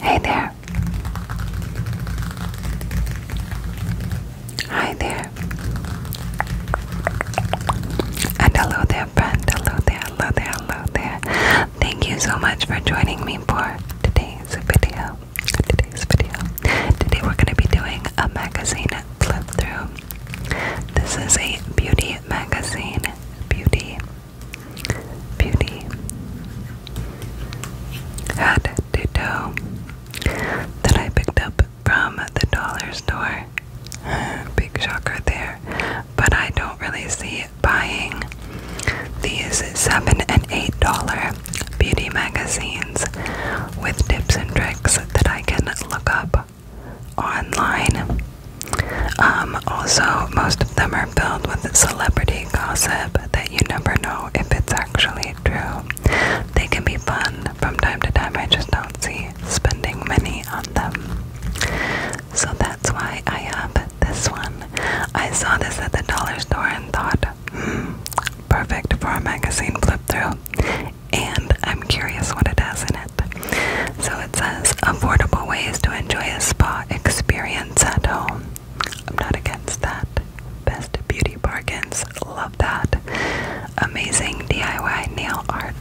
Hey there. Hi there. And hello there, friend. Hello there, hello there, hello there. Thank you so much for joining me for today's video today's video. Today we're going to be doing a magazine flip through. This is a beauty magazine. Beauty. Beauty. Head to do That I picked up from the dollar store. Big shocker there. But I don't really see buying these seven and eight dollar beauty magazines with tips and tricks that I can look up online. Um, also, most of them are filled with celebrity gossip that you never know if it's actually true. They can be fun from time to time, I just don't see spending money on them. So that's why I have this one. I saw this at the dollar store and thought, hmm, perfect for a magazine flip through and I'm curious what it has in it. So it says affordable ways to enjoy a spa experience at home. I'm not against that. Best beauty bargains, love that. Amazing DIY nail art.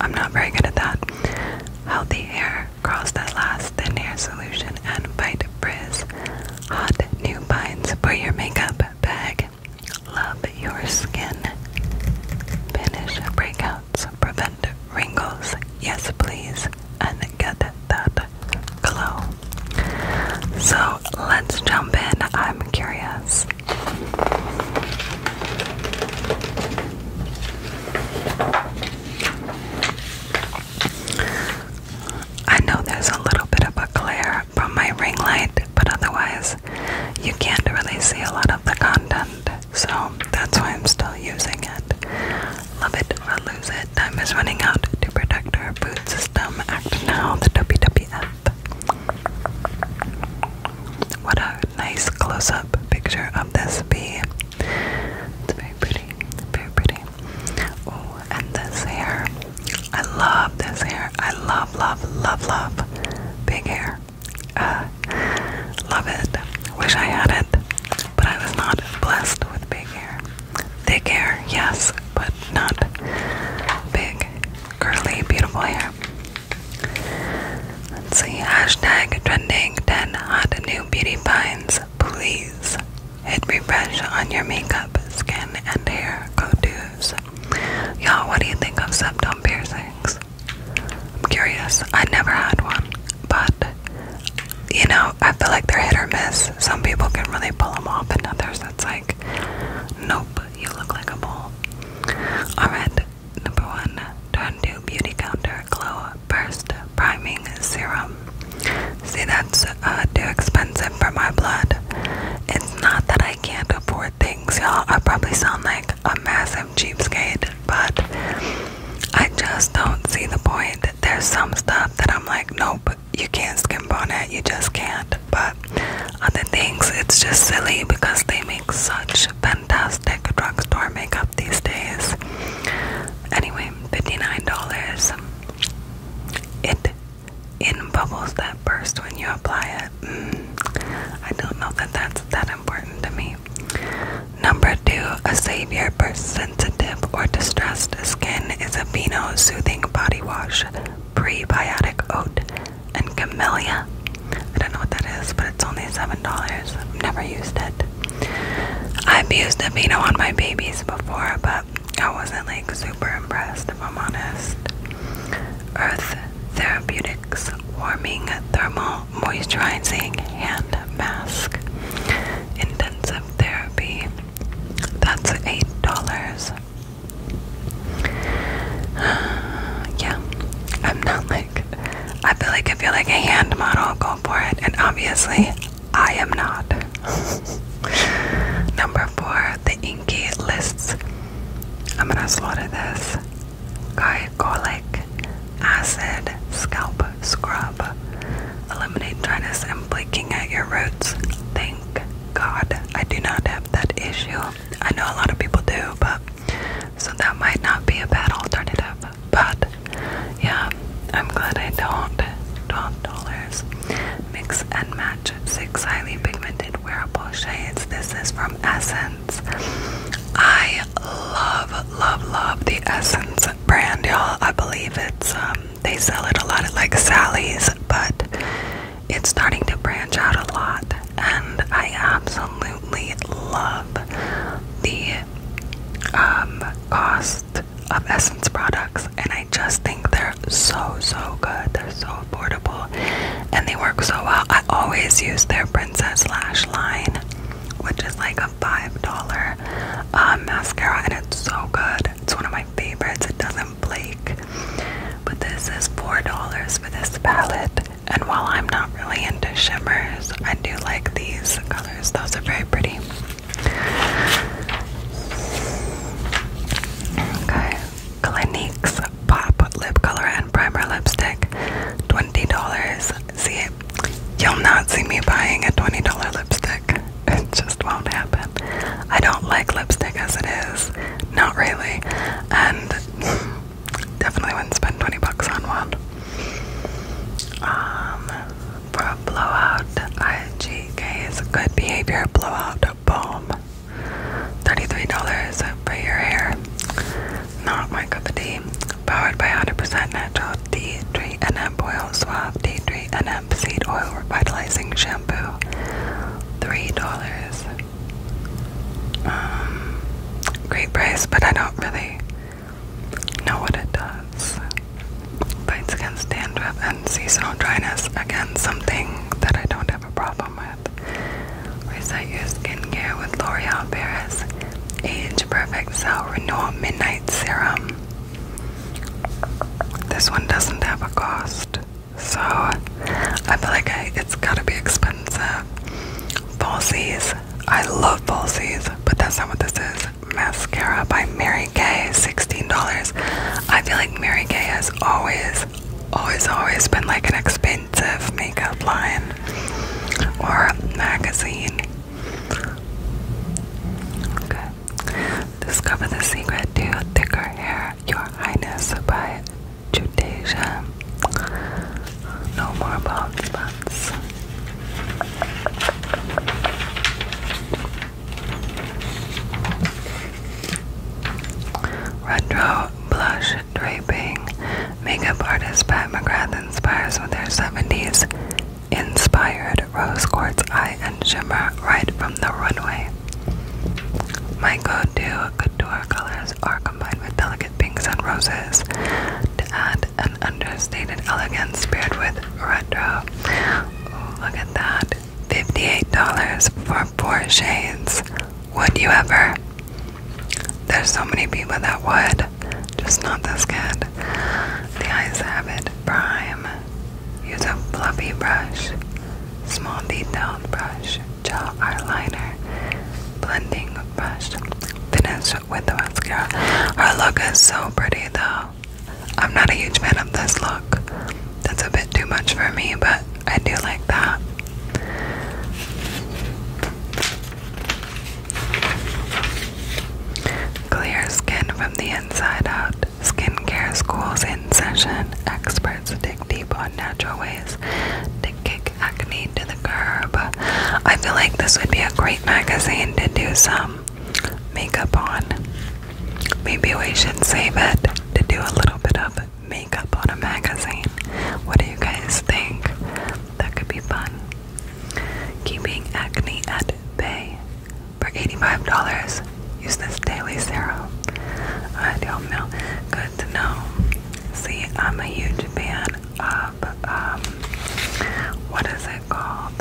I'm not very good at that. Healthy hair, curls that last, thin hair solution, and fight frizz. Hot new finds for your makeup bag. Love your skin. Finish breakouts. Prevent wrinkles. Yes, please. And get that glow. So let's jump in. I'm curious. I know there's a little bit of a glare from my ring light, but otherwise, you can't really see a lot of the content. So that's why I'm still using it. Love it or lose it. Time is running out to protect our food system. Act now, the WWF. What a nice close up picture of this bee. It's very pretty, very pretty. Oh, and this hair. I love this hair. I love, love, love, love big hair. Uh, love it. Wish I had it, but I was not blessed with big hair. Thick hair, yes, but not big, curly, beautiful hair. Let's see. Hashtag trending 10 hot new beauty finds. Please hit refresh on your makeup, skin, and hair go-tos. Y'all, what do you think of septum piercings? I'm curious. I never had one, but you know, I feel like they're hit or miss. Some people can really pull them off, and others that's like, nope, you look like a mole. Alright, number one, turn beauty counter glow burst priming serum. See, that's uh, too expensive for my blood. It's not that I can't afford things, y'all. I probably sound like a massive cheapskate, but I just don't see the point. There's some stuff that I'm like, nope, you can't skimp on it, you just can't. But other things, it's just silly because they make such fantastic drugstore makeup these days. Anyway, $59. It in bubbles that burst when you apply it. Mm. I don't know that that's that important to me. Number two, a savior for sensitive or distressed skin is a Aveeno Soothing Body Wash, Prebiotic Oat, and Camellia. I don't know what that is, but it's only $7. I've never used it. I've used Aveeno on my babies before, but I wasn't like super impressed if I'm honest. Earth Therapeutics Warming Thermal Moisturizing Hand Mask Intensive Therapy. That's eight dollars. yeah, I'm not like. I feel like if you're like a hand model, go for it. And obviously, I am not. Number four, inky lists. I'm gonna slaughter this. Glycolic acid scalp scrub. Eliminate dryness and flaking at your roots. Thank God I do not have that issue. I know a lot of people do, but so that might not be a bad alternative. But yeah, I'm glad I don't. $12. Mix and match six highly pigmented wearable shades. This is from Essence. I love, love, love the Essence brand, y'all. I believe it's um they sell it a lot at like Sally's, but it's starting to branch out a lot, and I absolutely love the um cost of Essence products, and I I just think they're so so good. They're so affordable and they work so well. I always use their Princess Lash line, which is like a $5 uh, mascara and it's so good. It's one of my favorites. It doesn't flake. But this is $4 for this palette. And while I'm not really into shimmers, I do like these colors. Those are very pretty. Okay. Clinique's Pop Lip Color and Primer Lipstick, $20. See, you'll not see me buying a $20 lipstick. It just won't happen. I don't like lipstick as it is. Not really. And definitely wouldn't spend 20 bucks on one. Um, for a blowout, IGK's Good Behavior Blowout Balm. $33 for your hair. Not my cup of tea. Powered by 100% natural tea tree and hemp oil swab, tea tree and hemp seed oil revitalizing shampoo. $3. Um, great price, but I don't really know what it does. But it's against and seasonal dryness. Again, something that I don't have a problem with. Reset your skincare with L'Oreal Paris Age Perfect Cell Renewal Midnight Serum. This one doesn't have a cost, so I feel like it's gotta be expensive. Falsies. I love falsies, but that's not what this is. Mascara by Mary Kay, $16. I feel like Mary Kay has always, always, always been like an expensive makeup line or a magazine. Discover the secret to thicker hair, Your Highness by Judasia. No more bald spots. Retro blush draping. Makeup artist Pat McGrath inspires with their 70s inspired rose quartz eye and shimmer right from the runway. My go to couture colors are combined with delicate pinks and roses to add an understated elegance paired with retro. look at that. $58 for or four shades, would you ever? There's so many people that would, just not this kid. The Eyes Habit Prime. Use a fluffy brush, small detailed brush, gel eyeliner, blending brush, finish with the mascara. Her look is so pretty though. I'm not a huge fan of this look. That's a bit too much for me, but I do like that. Clear skin from the inside out. Skincare schools in session. Experts dig deep on natural ways to kick acne to the curb. I feel like this would be a great magazine to do some makeup on. Maybe we should save it to do a little bit of makeup on a magazine. What do you guys think? That could be fun. Keeping acne at bay. For $85, use this daily serum. I don't know. Good to know. See, I'm a huge fan of, um, what is it called?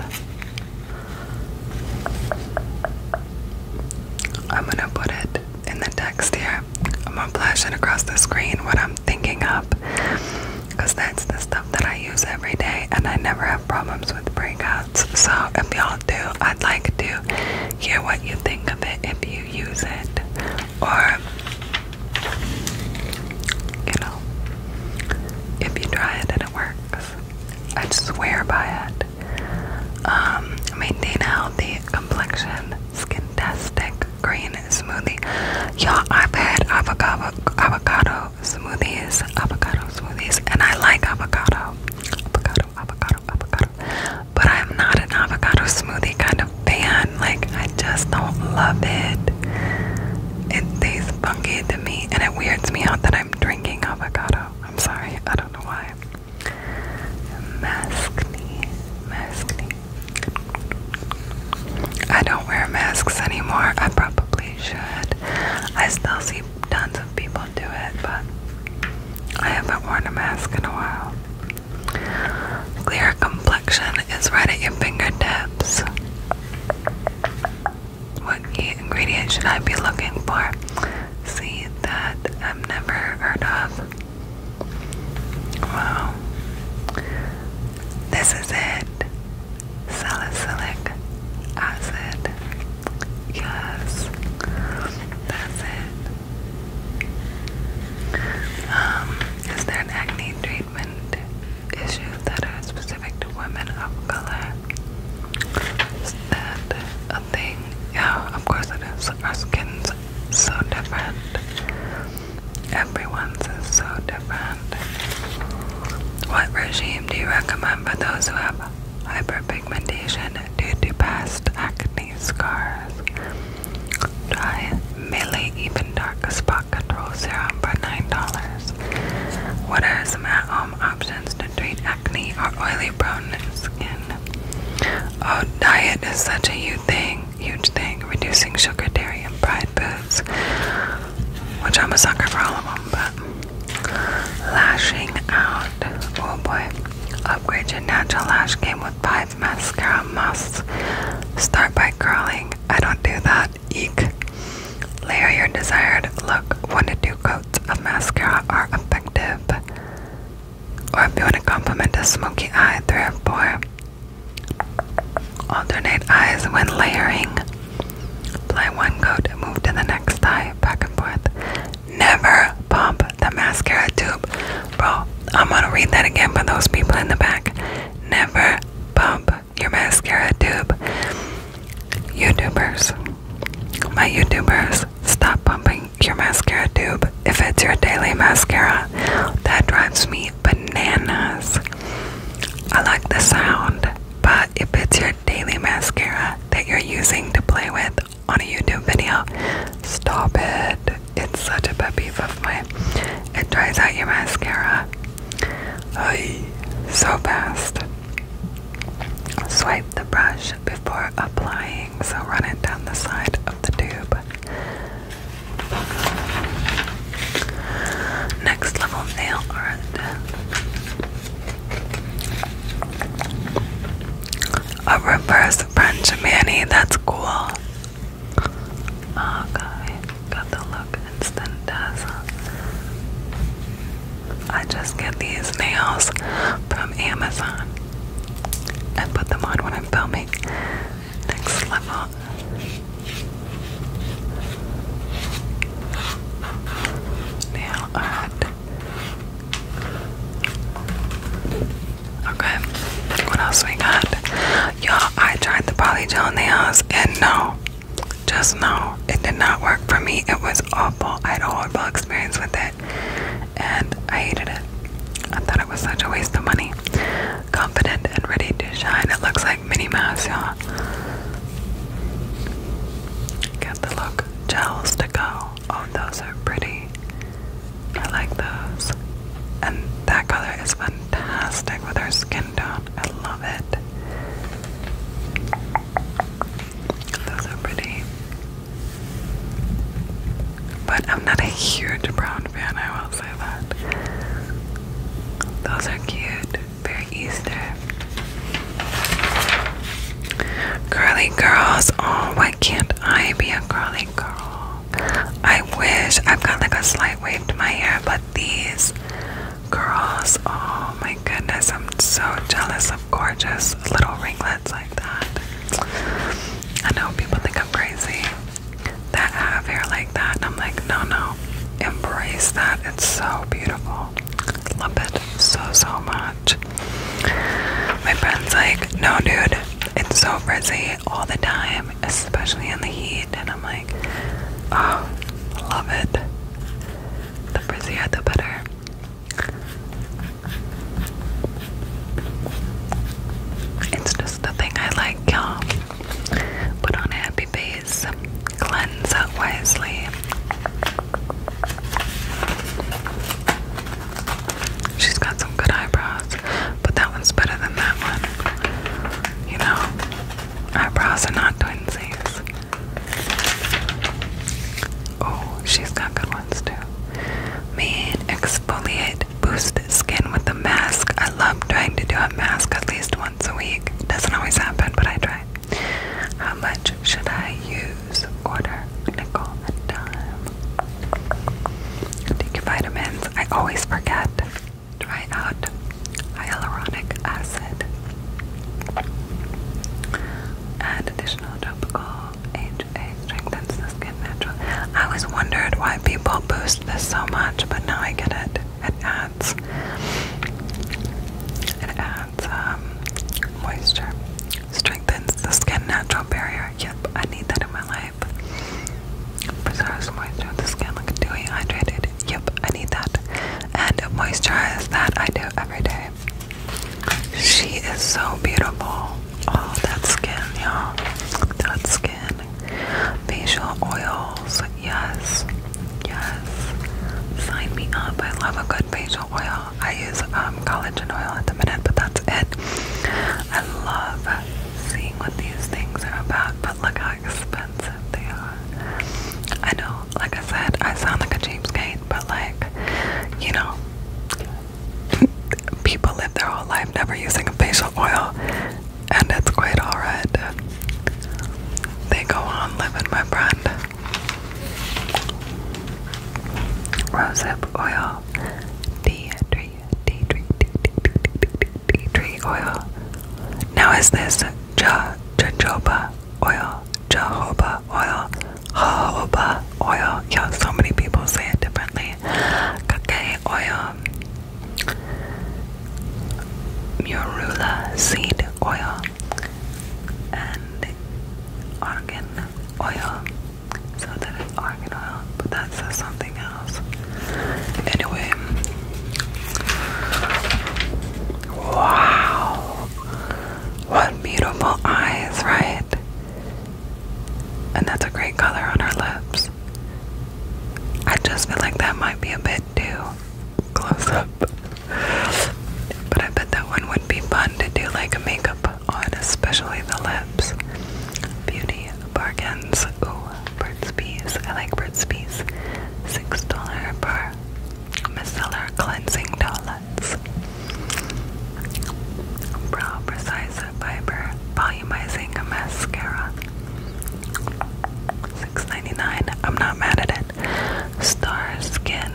I'm gonna put it in the text here. I'm gonna flash it across the screen what I'm thinking up because that's the stuff that I use every day and I never have problems with breakouts. So if y'all do, I'd like to hear what you think of it if you use it or you know if you try it and it works. I'd swear by it. Um, maintain a healthy complexion. Skintastic green smoothie. Y'all, I've had avocado avocado smoothies, avocado smoothies, and I like avocado, avocado, avocado, avocado. But I'm not an avocado smoothie kind of fan. Like I just don't love it. It tastes funky to me, and it weirds me out that I'm drinking avocado. I'm sorry, I don't know why. Maskne, maskne. I don't wear masks anymore. I probably should. I still see tons of people do it, but I haven't worn a mask in a while. Clear complexion is right at your fingertips. What key ingredient should I be looking for? See that I've never heard of. Wow. This is it. Salicylic acid. Yes. That's it. Um, is there an acne treatment issue that are specific to women of color? Is that a thing? Yeah, of course it is. Our skin's so different. Everyone's is so different. What regime do you recommend for those who have hyperpigmentation due to past acne scars? Try Melee Even Dark Spot Control Serum for $9. What are options to treat acne or oily prone skin. Oh, diet is such a huge thing, huge thing. Reducing sugar, dairy, and fried foods, which I'm a sucker for all of them, but lashing out. Oh boy. Upgrade your natural lash game with five mascara musts. Start by curling. I don't do that. Eek. Layer your desired look. One to two coats of mascara are effective. Or if you want to compliment a smoky eye, three or four. Alternate eyes when layering. Apply one coat, move to the next eye, back and forth. Never pump the mascara tube. Bro, I'm gonna read that again for those people in the back. Never pump your mascara tube. YouTubers, my YouTubers, Stop pumping your mascara tube if it's your daily mascara. That drives me bananas. I like the sound, but if it's your daily mascara that you're using to play with on a YouTube video, stop it. It's such a pet peeve of It dries out your mascara. Oy, so fast. Swipe the brush before applying, so run it down the side of the tube. Next level nail art. A reverse French mani, that's cool. Okay, ah, got the look instant dazzle. I just get these nails from Amazon and put them on when I'm filming. Next level. Nail art. Okay, what else we got? Y'all, I tried the polygel nails and no, just no, it did not work for me. It was awful. I had a horrible experience with it and I hated it. I thought it was such a waste of money. Confident and ready to shine. It looks like mini Mouse, y'all. Get the look. Gels to go. Oh, those are pretty. I like those. And that color is fantastic with her skin tone. I love it. Those are pretty. But I'm not a huge brown fan, I will say that. Those are cute. Very Easter. Curly girls. Oh, why can't I be a curly girl? I wish I've got like a slight wave to my hair, but these girls, oh my goodness, I'm so jealous of gorgeous little ringlets like that. I know people think I'm crazy that have hair like that, and I'm like, no, no, embrace that. It's so beautiful. Love it so, so much. My friend's like, no, dude, it's so frizzy all the time, especially in the heat. And I'm like, oh, love it. The frizzier, the better. It's just the thing I like, y'all. Put on happy face, cleanse out wisely. She's got some good eyebrows, but that one's better than that one. You know, eyebrows are not twinsies. Oh, she's got good ones too. Main exfoliate boost skin with the mask. I love trying to do a mask at least once a week. Doesn't always happen, but I try. How much should I use? Order nickel dime. Take your vitamins. I always forget. Try out hyaluronic acid. And additional tropical AHA strengthens the skin naturally. I always wondered why people boost this so much, but now I get it. It adds, it adds um, moisture. Strengthens the skin natural barrier. Yep, I need that in my life. Preserves moisture in the skin, like dewy, hydrated. Yep, I need that. And moisturize that I do every day. She is so beautiful. Oh, that skin, y'all. That skin. Facial oils. Yes. Yes. Sign me up. I love a good facial oil. I use um, collagen oil at the minute, but that's it. I love seeing what these things are about, but look how expensive they are. I know, like I said, I sound like a cheapskate, but like, you know, people live their whole life never using a facial oil, and it's quite alright. They go on living, my brand, Rosehip oil, tea tree, tea tree, tea tree oil. Now is this ja jojoba oil, jojoba oil, jojoba oil. Yeah, so many people say it differently. Kake oil, murula seed oil, and argan oil. So that is argan oil, but that says something else. Anyway. Wow. What beautiful eyes, right? And that's a great color on her lips. I just feel like that might be a bit too close up. But I bet that one would be fun to do like a makeup on, especially the lips. Beauty bargains. Oh, Burt's Bees. I like Burt's Bees. $6 bar. micellar cleansing dollar. Brow Precisa Fiber Volumizing Mascara. 6 I'm not mad at it. Star Skin.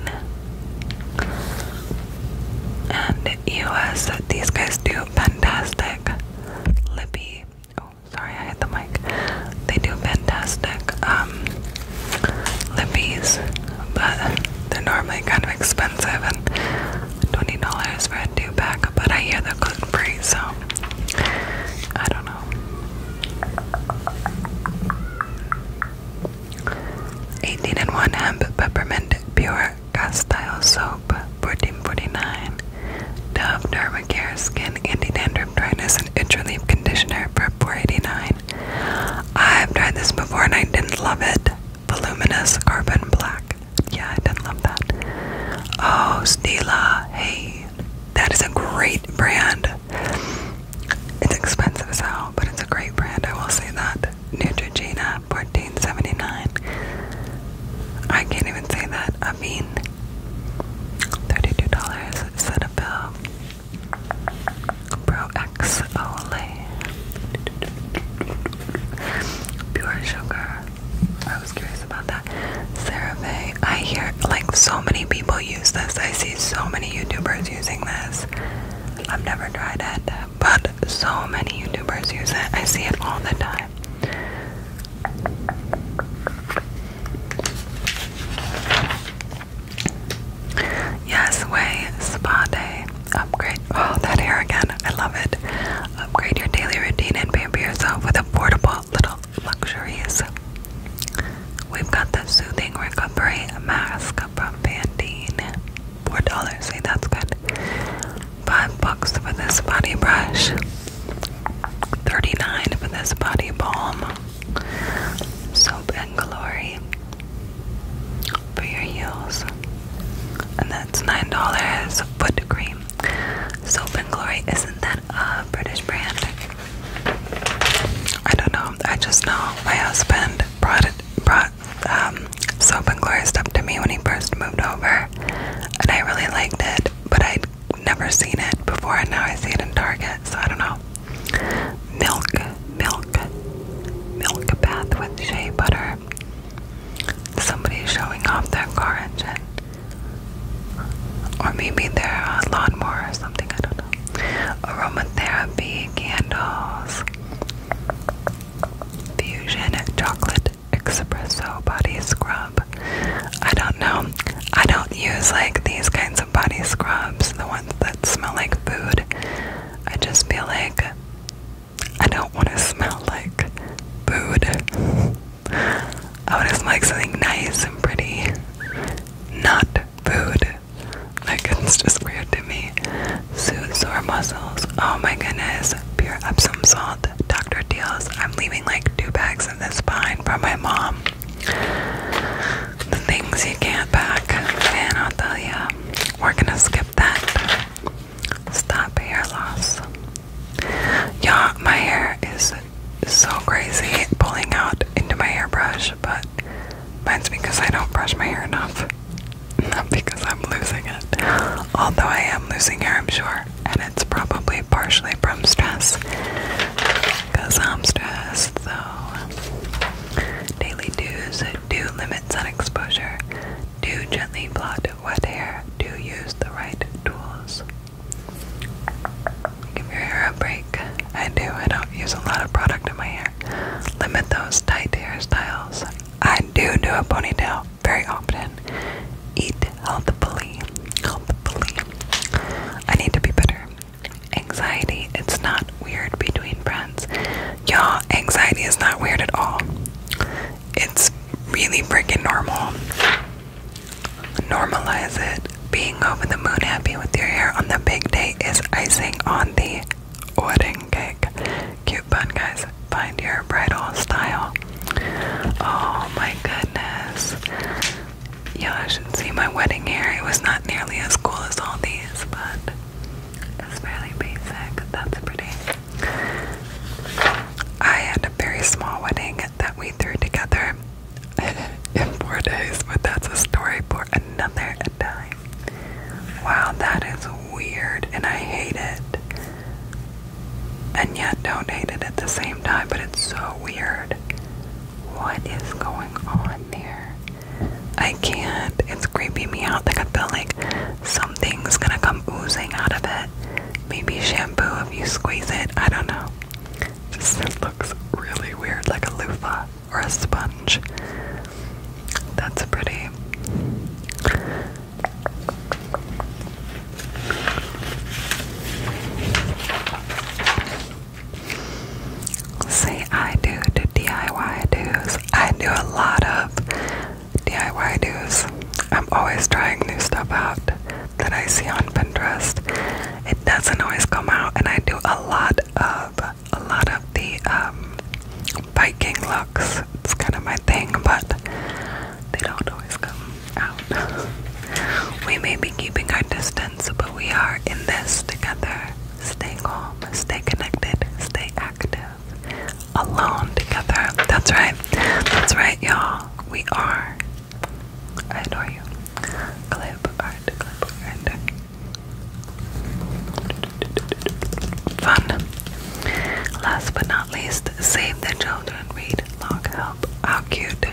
And US. These guys do fantastic. Lippy. Oh, sorry, I hit the mic. They do fantastic um, lippies, but they're normally kind of expensive and $20 for a two pack. But I hear they're gluten free, so I don't know. 18 and 1 hemp peppermint pure castile soap, 14.49. Dove Dermacare Skin Anti Dandruff Dryness and Itch Relief Conditioner for 4.89. I've tried this before and I didn't love it. Voluminous Carbon Black. Yeah, I didn't love that. Oh, Stila. Hey, that is a great brand. It's expensive as hell, but it's a great brand. I will say that. Neutrogena, fourteen seventy nine. I can't even say that. I mean, thirty two dollars. Cetaphil, Pro X Olay. Pure sugar. I was curious about that. CeraVe. I hear like so many people use this. I see so many YouTubers using this. I've never tried it, but so many YouTubers use it. I see it all the time. Yes, way spa day. Upgrade. Oh, that hair again. I love it. Upgrade your daily routine and pamper yourself with affordable little luxuries. We've got the soothing recovery mask from Pantene. Four dollars. See, that's good. Five bucks for this body brush. Thirty-nine for this body balm. Soap and glory for your heels. And that's $9 foot cream. Soap and Glory, isn't that a British brand? I don't know. I just know my husband brought it brought um, Soap and Glory stuff to me when he first moved over, and I really liked it, but I'd never seen it before, and now I see it in Target, so I don't know. Milk, milk, milk bath with shea butter. Somebody's showing off their car engine. Or maybe their uh, lawnmower or something, I don't know. Aromatherapy candles. Fusion chocolate espresso body scrub. I don't know. I don't use like these kinds of body scrubs, the ones that smell like food. I just feel like I don't want to smell like food. I want to smell like something nice and pretty, not food. Like, it's just weird to me. Soothe sore muscles. Oh my goodness. Pure Epsom salt. Dr. Deals. I'm leaving like two bags of this pine for my mom the things you can't pack, and I'll tell ya, we're gonna skip that. Stop hair loss. Y'all, my hair is so crazy pulling out into my hairbrush, but that's because I don't brush my hair enough. because I'm losing it. Although I am losing hair, I'm sure, and it's probably partially from stress. I'm stressed, so. Daily do's do limit sun exposure, do gently blot wet hair, do use the right tools. Give your hair a break. I do. I don't use a lot of product in my hair. Limit those tight hairstyles. I do do a ponytail very often. Eat healthfully. Healthfully. I need to be better Anxiety, it's not weird between friends. Y'all, anxiety is not weird at all. It's really freaking normal. Normalize it. Being over the moon happy with your hair on the big day is icing on the wedding cake. Cute bun, guys. Find your bridal style. Oh my goodness. Y'all should see my wedding hair. It was not nearly as cool as all these, but it's fairly basic. That's pretty. I had a very small wedding that we threw together in four days, but that's a story for another time. Wow, that is weird, and I hate it. And yet, don't hate it at the same time, but it's so weird. What is going on there? I can't. It's creeping me out. Like I feel like something's gonna come oozing out of it. Maybe shampoo if you squeeze it. I don't know. Just looks really weird, like a loofah or a sponge. That's pretty say I do to DIY do's. I do a lot of DIY do's. I'm always trying new stuff out that I see on Pinterest. It doesn't always come out, and I do a lot of a lot of the um, biking looks. It's kind of my thing, but they don't always come out. we may be keeping our distance, but we are in this together. Stay calm, stay connected, stay active. Alone together. That's right. That's right, y'all. We are. I adore you. Clip art, clip art. Fun. Last but not least, save the children. Read, log, help. How cute.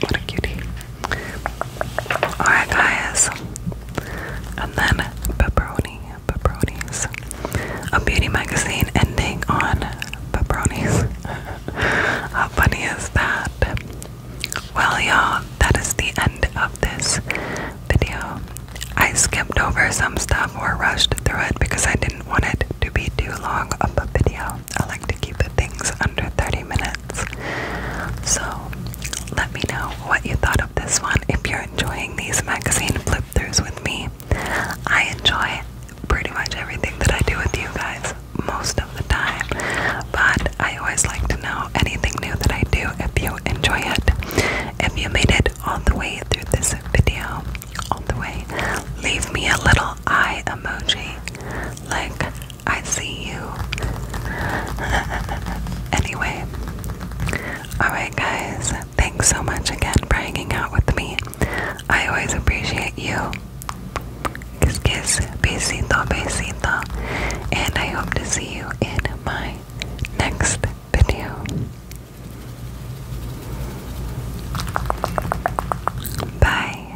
What a cutie. Alright, guys and then pepperoni, pepperonis. A beauty magazine ending on pepperonis. How funny is that? Well, y'all, that is the end of this video. I skipped over some stuff or rushed through it because I didn't want it to be too long of a video. I like to keep the things under 30 minutes. So, let me know what you thought of this one. If you're enjoying these magazine flip throughs with me, I enjoy pretty much everything that I do with you guys most of the time. But I always like to know anything new that I do if you enjoy it. If you made it all the way through this video, all the way, leave me a little eye emoji like I see you. anyway, Alright, guys, thanks so much again for hanging out with me. I always appreciate you. Kiss, kiss, besito, besito. And I hope to see you in my next video. Bye.